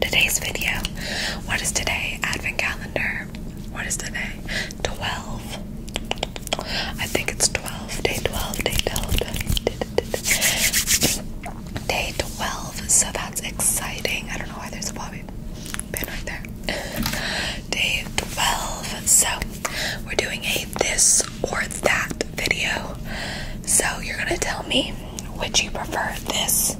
Today's video. What is today? Advent calendar. What is today? 12. I think it's 12. Day 12. Day 12. Day 12. So that's exciting. I don't know why there's a bobby pin right there. Day 12. So we're doing a this or that video. So you're going to tell me would you prefer this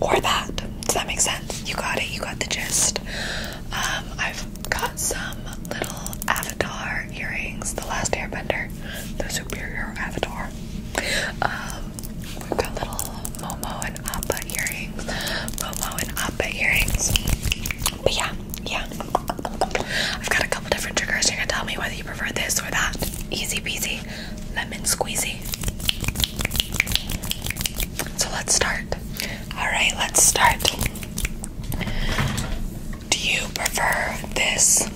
or that? Does that make sense? You got it. You got the gist. Um, I've got some little Avatar earrings. The Last Airbender, the Superior Avatar. Um, we've got little Momo and Appa earrings. Momo and Appa earrings. But yeah, yeah. I've got a couple different triggers. You're gonna tell me whether you prefer this or that. Easy peasy lemon squeezy. So let's start. Alright, let's start. Do you prefer this?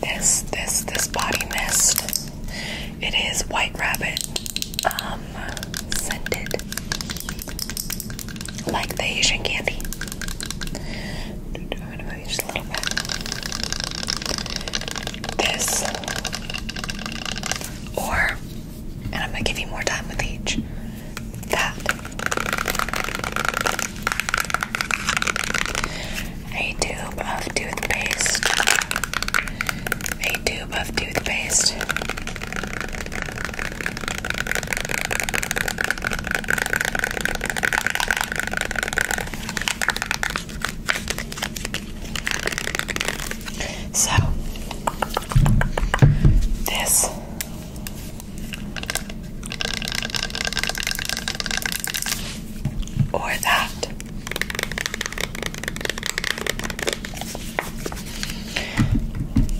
This this this body mist. It is White Rabbit, um, scented like the Asian candy. I'm a little bit. This or, and I'm gonna give you more time with each. That a tube of toothpaste, a tube of toothpaste, so this or that.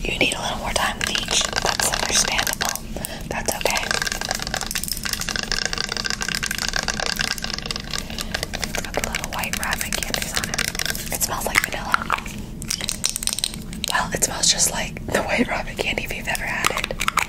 You need a little more time with each. That's understandable. That's okay. it got the little white rabbit candies on it. It smells like vanilla. Well, it smells just like the white rabbit candy if you've ever had it.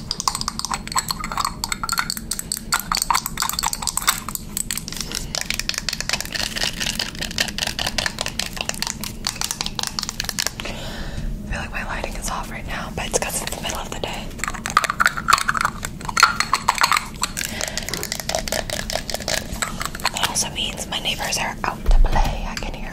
I feel like my lighting is off right now, but it's because it's the middle of the day. That also means my neighbors are out to play. I can hear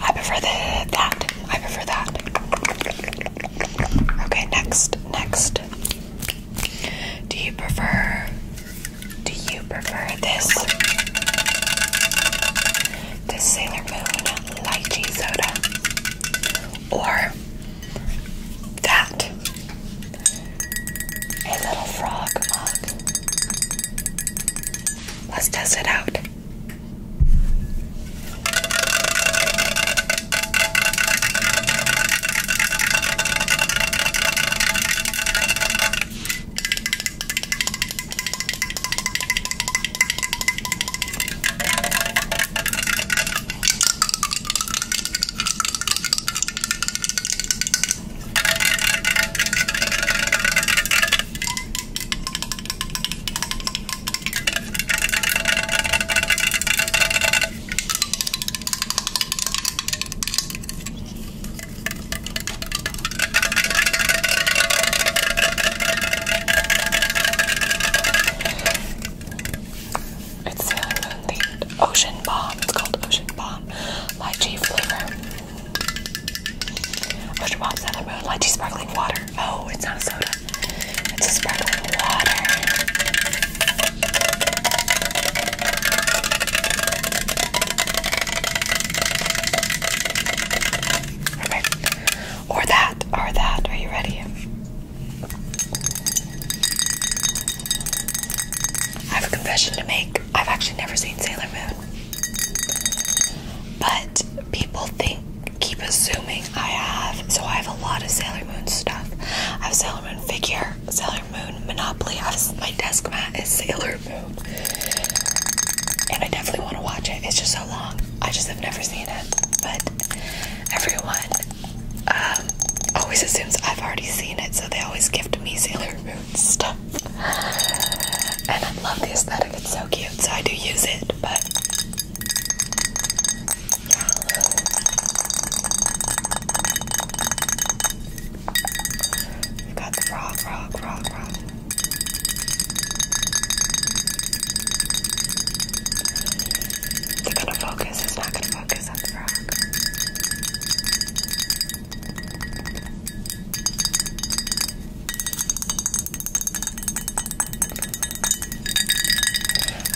I prefer that. I prefer that. Okay, next, next. Do you prefer do you prefer this? This Sailor Moon lychee soda or that a little frog mug. Let's test it out. It's a moon ocean bomb. It's called Ocean Bomb lychee flavor. Bush Bob's on the road. Lychee sparkling water. Oh, it's not soda. It's sparkling water. Or that, or that. Are you ready? I have a confession to make. I've actually never seen Sailor Moon. But people think, keep assuming I have. So I have a lot of Sailor Moon stuff. I have Sailor Moon figure, Sailor Moon Monopoly. I have, my desk mat is Sailor Moon. And I definitely want to watch it. It's just so long. I just have never seen it. But everyone um, always assumes I've already seen it. So they always gift me Sailor stuff. And I love the aesthetic, it's so cute, so I do use it, but yeah. got the frog, frog, frog, frog. They're gonna focus, it's not gonna focus on the frog.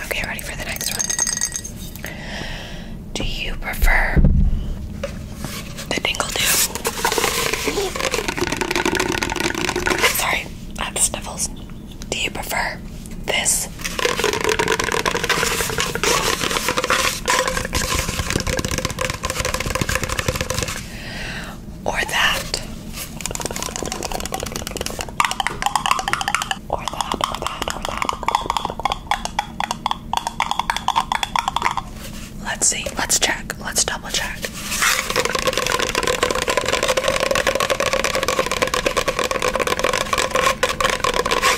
Okay, ready for the next one. Do you prefer the dingle do? Sorry, I have sniffles. Do you prefer this or that. Or that, or that, or that. Let's see. Let's check. Let's double check.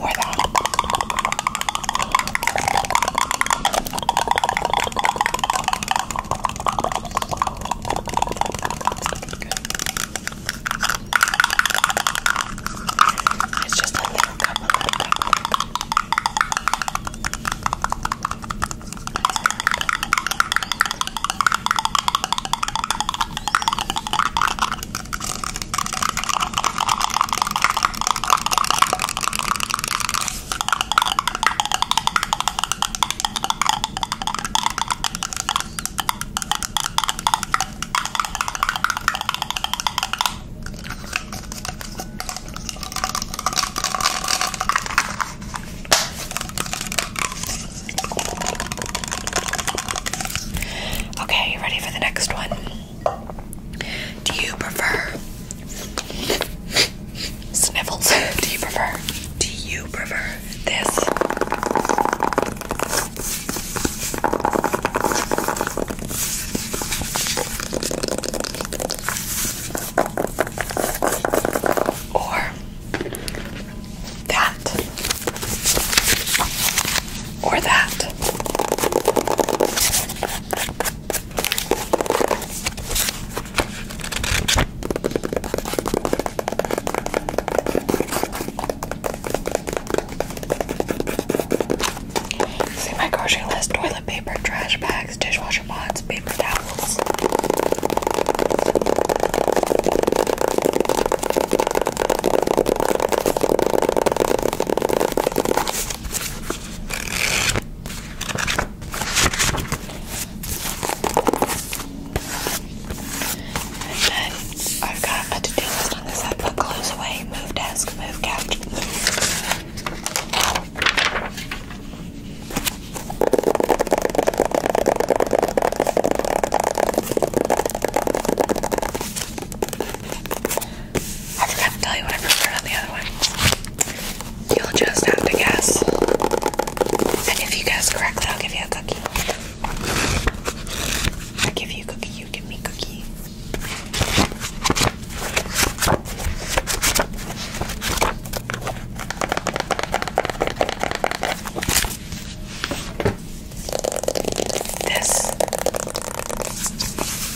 or that. It's just a little cup, a little cup. Okay. Okay, you ready for the next one? Do you prefer sniffles? Do you prefer? Do you prefer this? Or that, or that, See my grocery list toilet paper, trash bags, dishwasher pods, paper towels then I've got a to-do list on this. I've put clothes away, move desk, move couch, move. I forgot to tell you what I preferred on the other one. You'll just have to guess. And if you guess correctly, I'll give you a cookie. I give you a cookie, you give me a cookie. This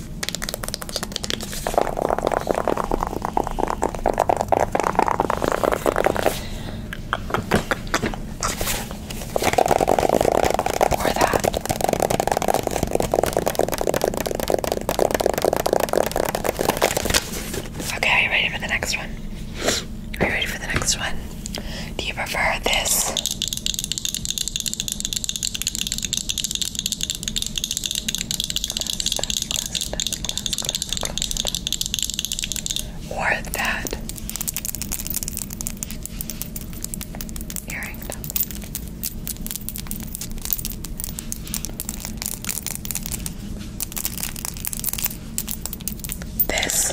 Or that. Okay, are you ready for the next one? Are you ready for the next one? Do you prefer this? Or that earring. This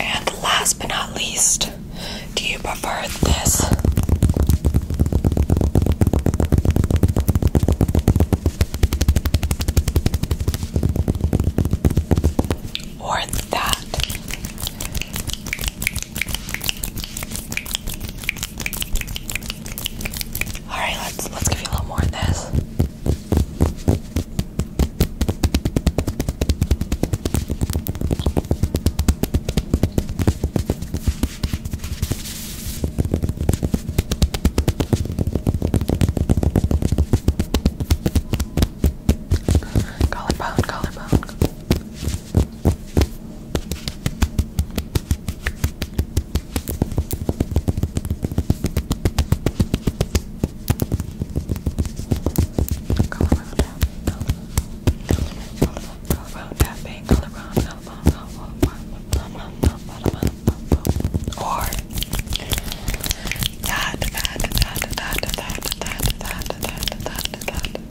And last but not least, do you prefer this. Or that. All right, let's let's give you a little more of this. Collarbone, collarbone. Collarbone down. Collarbone, collarbone, Colorado Cafe, Colorado, Colorado, Colorado, Colorado, or that, that, that, that, that, that, that, that, that, that,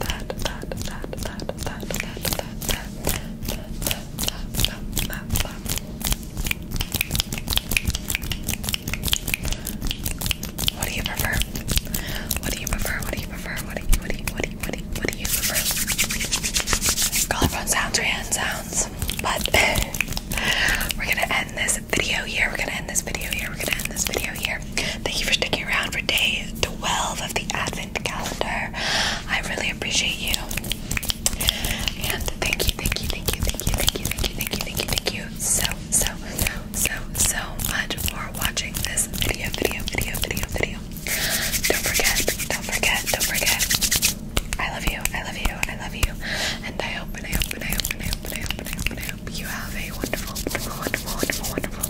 that, that, that, that, what do you prefer? What do you prefer? What do you prefer? What do you what do you what do what, do, you prefer? Collarbone sounds or hand sounds? But we're gonna end this video here. We're gonna end this video here. We're gonna end this video here. Thank you for sticking around for day 12 of the Advent calendar. I really appreciate you. And thank you, thank you, thank you, thank you, thank you, thank you, thank you, thank you, thank you so, so, so, so much for watching this video, video, video, video, video you. Don't forget, don't forget, don't forget. I love you, I love you, I love you. And I hope and I hope and I hope and I hope and I hope and I hope, and I hope you have a wonderful, wonderful, wonderful, wonderful,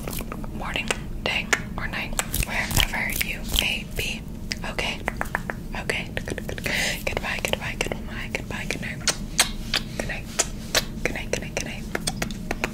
wonderful morning, day, or night, wherever you may be. Okay? Okay. Goodbye, goodbye, goodbye, goodbye, good night. Good night. Good night, good night, good night.